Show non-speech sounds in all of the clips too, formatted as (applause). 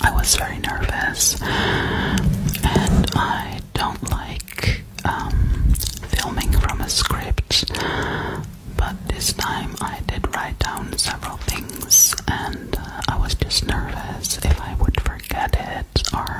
I was very nervous, and I don't like um, filming from a script, but this time I did write down several things, and uh, I was just nervous if I would forget it or.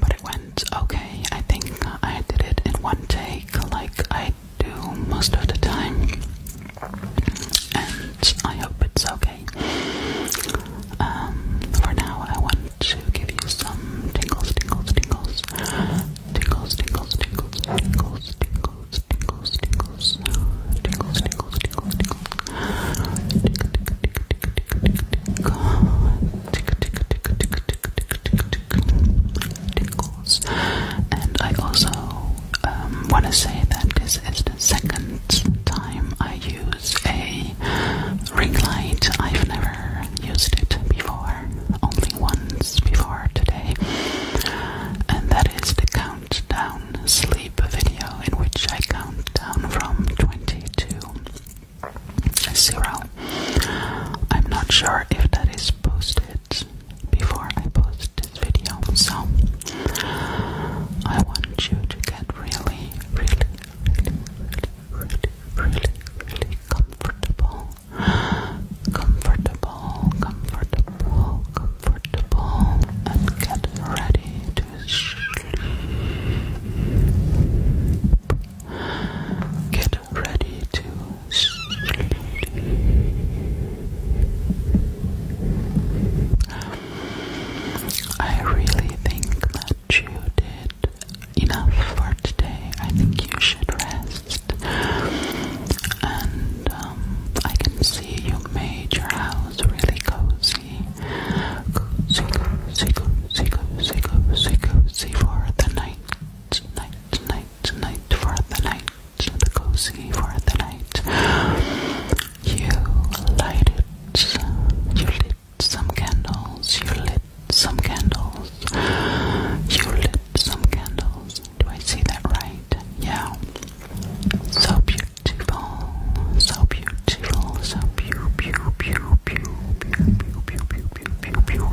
But it went okay. I think I did it in one take, like I do most of the time. I hope it's okay. Um, for now, I want to give you some tingles, tingles, tingles, tingles, tingles, tingles, tingles, tingles, tingles, tingles, tingles, tingles, tingles, tingles, tingles, and I also um, want to say that this is the second time I use a ring light. I've never used it before, only once before today, and that is the countdown sleep video in which I count down from 20 to 0. I'm not sure if that is posted before I post this video. So I want you to get really, really, really, really, really, really comfortable. Comfortable, comfortable, comfortable, and get ready to sleep. Get ready to sleep. I really think that you did enough for today. I think you should rest. And um, I can see you made your house really cozy. Cozy, cozy, cozy, cozy, cozy, cozy for the night, night, night, night, for the night the cozy for the night. You light it. You lit some candles. You lit some candles. You lit some candles. Do I see that right? Yeah. So beautiful. So beautiful. So beautiful. Beautiful. Beautiful. Beautiful. Beautiful. Beautiful. Beautiful.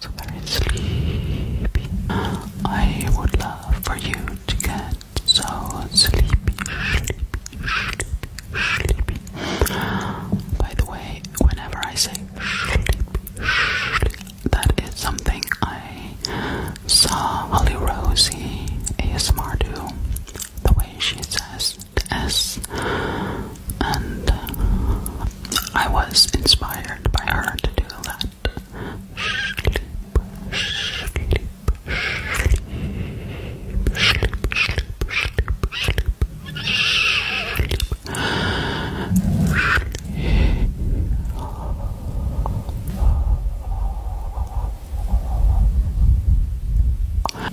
so very sleepy. I would love for you to get so sleepy, sleepy, sleepy, sleepy. By the way, whenever I say sleepy, sleepy that is something I saw Holly Rosie ASMR do. The way she says the S, and I was inspired by her to do that. Sleep, sleep, sleep, sleep, sleep, sleep, sleep, sleep.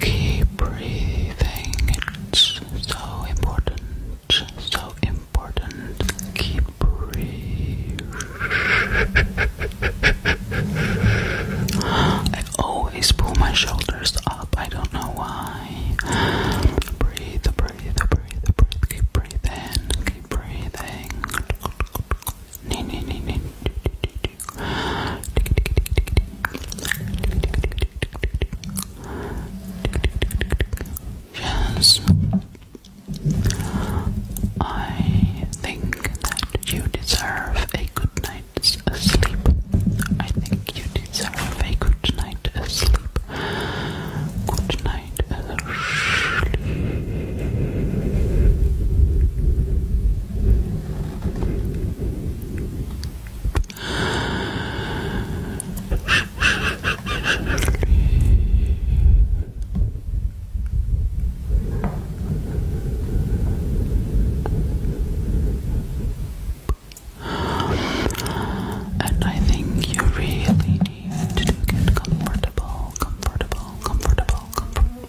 Keep breathing, it's so important so important. Keep breathing. (gasps) I always pull my shoulders up. I don't know why. Breathe, breathe, breathe, breathe. Keep breathing. Keep breathing. Nee, nee, Yes. I think that you deserve a good night's sleep. I think you deserve a good night's sleep. Good night, sleep. And I think you really need to get comfortable, comfortable, comfortable, comfortable.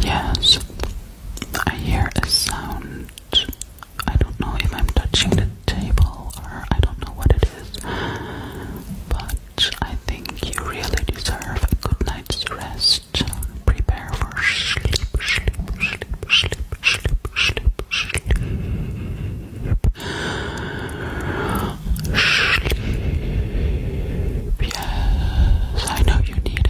Yes, I hear a sound. I don't know if I'm touching the table or I don't know what it is, but I think you really deserve a good night's rest. Prepare for sleep, sleep, sleep, sleep, sleep, sleep, sleep. Sleep. Yes, I know you need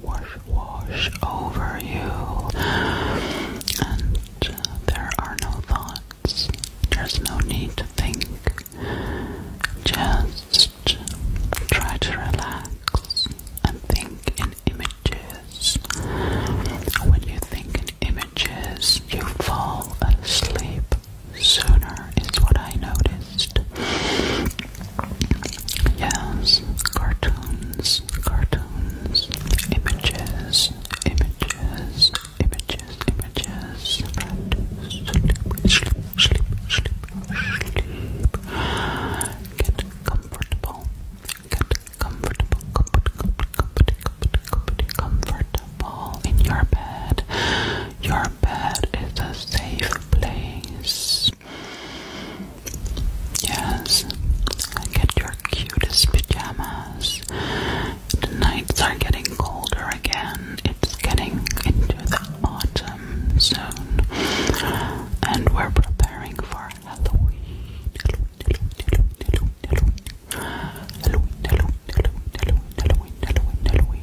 wash, wash over you. And uh, there are no thoughts. There's no need to think. Just try to relax and think in images. When you think in images, you fall asleep sooner, is what I noticed. Yes, cartoons, cartoons, images, images, images, images. Right. Sleep, sleep, sleep, sleep. Get comfortable. Get comfortable, comfort, comfort, comfort, comfort, comfort, comfortable in your bed. Your bed is a safe place yes. Get your cutest pajamas. The nights are getting colder again. It's getting into the autumn soon. And we're preparing for Halloween. Halloween, Halloween,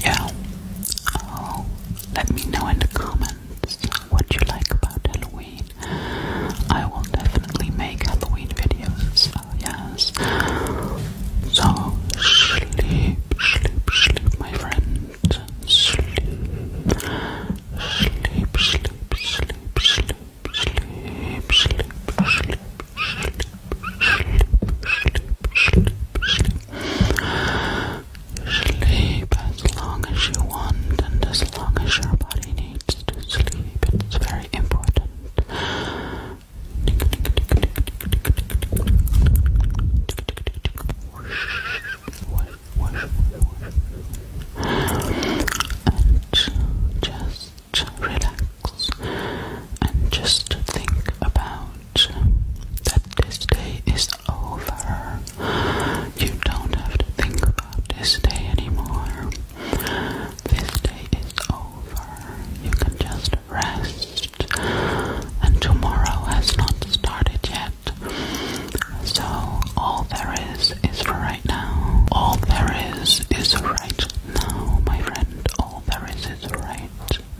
Yeah. Oh, let me know in the comments what you like about Halloween. I will definitely make Halloween videos. Oh, yes. So sleep, sleep, sleep, my friend. Sleep, sleep, sleep, sleep, sleep, sleep, sleep, sleep, sleep sleep, sleep, sleep. Sleep as long as you want and as long as your body needs to sleep. It's very important. And just relax, and just think about that this day is over. You don't have to think about this day anymore. This day is over. You can just rest, and tomorrow has not started yet. So, all there is is right now. All there is is right now, my friend. All there is is right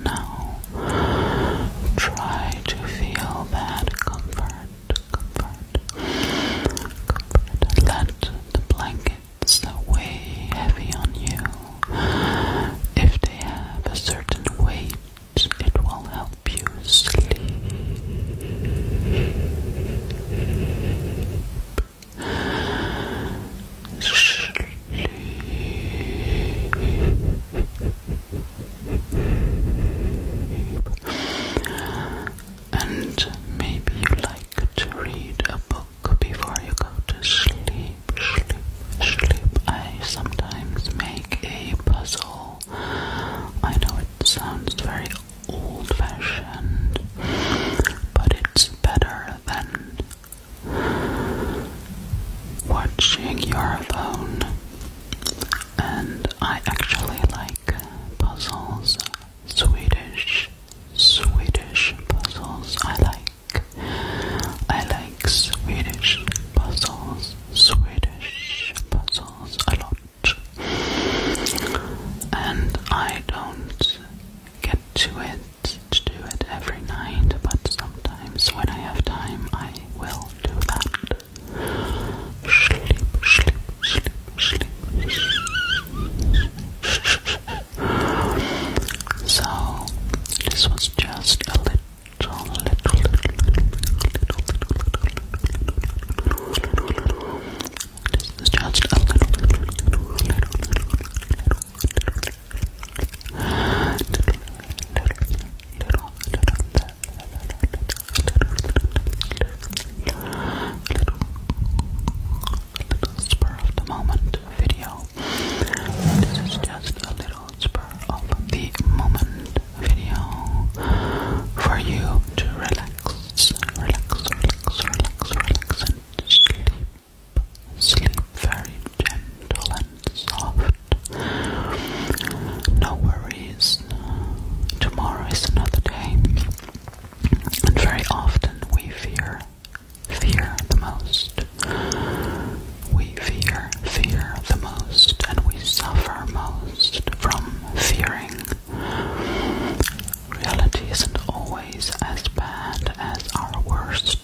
now. Try to feel that comfort, comfort, comfort. Let the blankets that weigh heavy on you, if they have a certain weight, it will help you sleep. Sleep. And maybe you like to read a book before you go to sleep. Sleep, sleep. I sometimes make a puzzle. I know it sounds very old fashioned, but it's better than watching your phone, and I actually like puzzles, Swedish, Swedish puzzles. I like, I like Swedish puzzles, Swedish puzzles a lot, and I don't get to it do it every night, but sometimes when I have time, I will do that. Sleep, sleep, sleep, sleep. So, this was just a little. Little, little, little, little, little, little, little, little, little, little, little this is just a little, spur of the moment video. This is just a little spur of the moment video for you to relax, relax, relax, relax, relax, sleep very gentle and soft. No worries, tomorrow is another day. And very often we fear fear the most. We fear fear the most, and we suffer most from fearing Reality isn't always as bad as our worst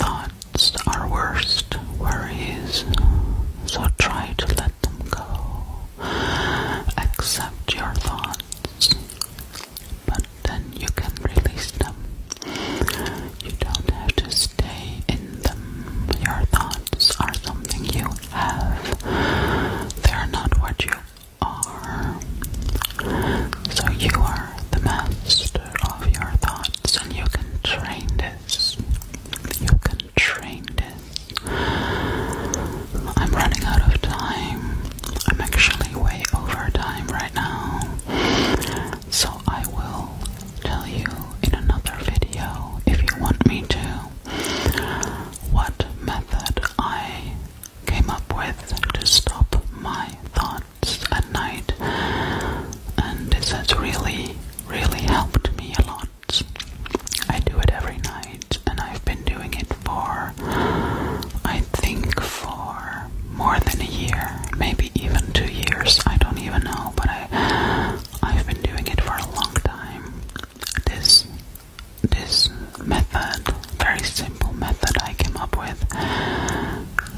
thoughts, our worst worries, so try to let them go. Accept your thoughts, but then you can release them. You don't have to stay in them. Your thoughts are something you have, they are not what you are. So you are the master of your thoughts and you can train this. You can train this. I'm running out of time. I'm actually way over time right now. So I will tell you in another video if you want me to what method I came up with to stop my thoughts at night, and this has really, really helped me a lot. I do it every night, and I've been doing it for, I think, for more than a year, maybe even two years. I don't even know, but I, I've been doing it for a long time. This this method, very simple method I came up with.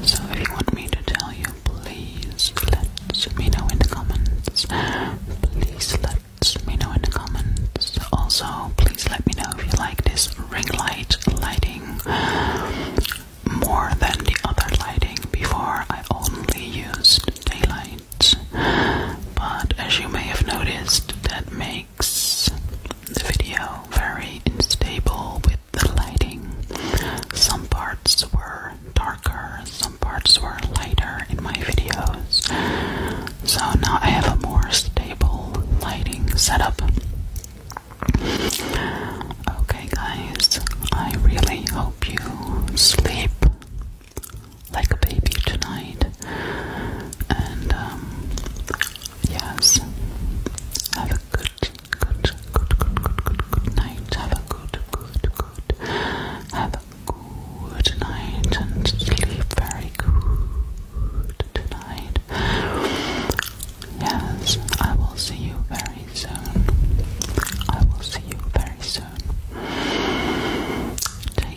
So if you want me to tell you, please let me know in the comments. Please let me know in the comments. Also, please let me know if you like this ring light lighting more than the other lighting. Before I only used daylight. But as you may have noticed, that makes the video very unstable with the lighting. Some parts were darker, some parts were lighter in my videos. So now I have a more stable lighting setup. Okay, guys, I really hope you sleep like a baby tonight. And um, yes, have a good, good, good, good, good, good, good night. Have a good, good, good. Have a good night and sleep very good tonight. Yes, I will see you very soon. I will see you very soon. Take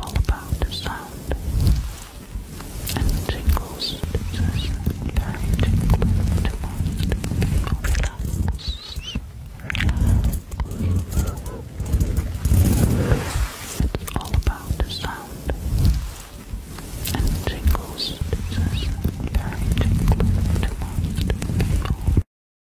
all about the sound and the tingles. It's very tingling to It's all about the sound and the tingles. It's very tingling to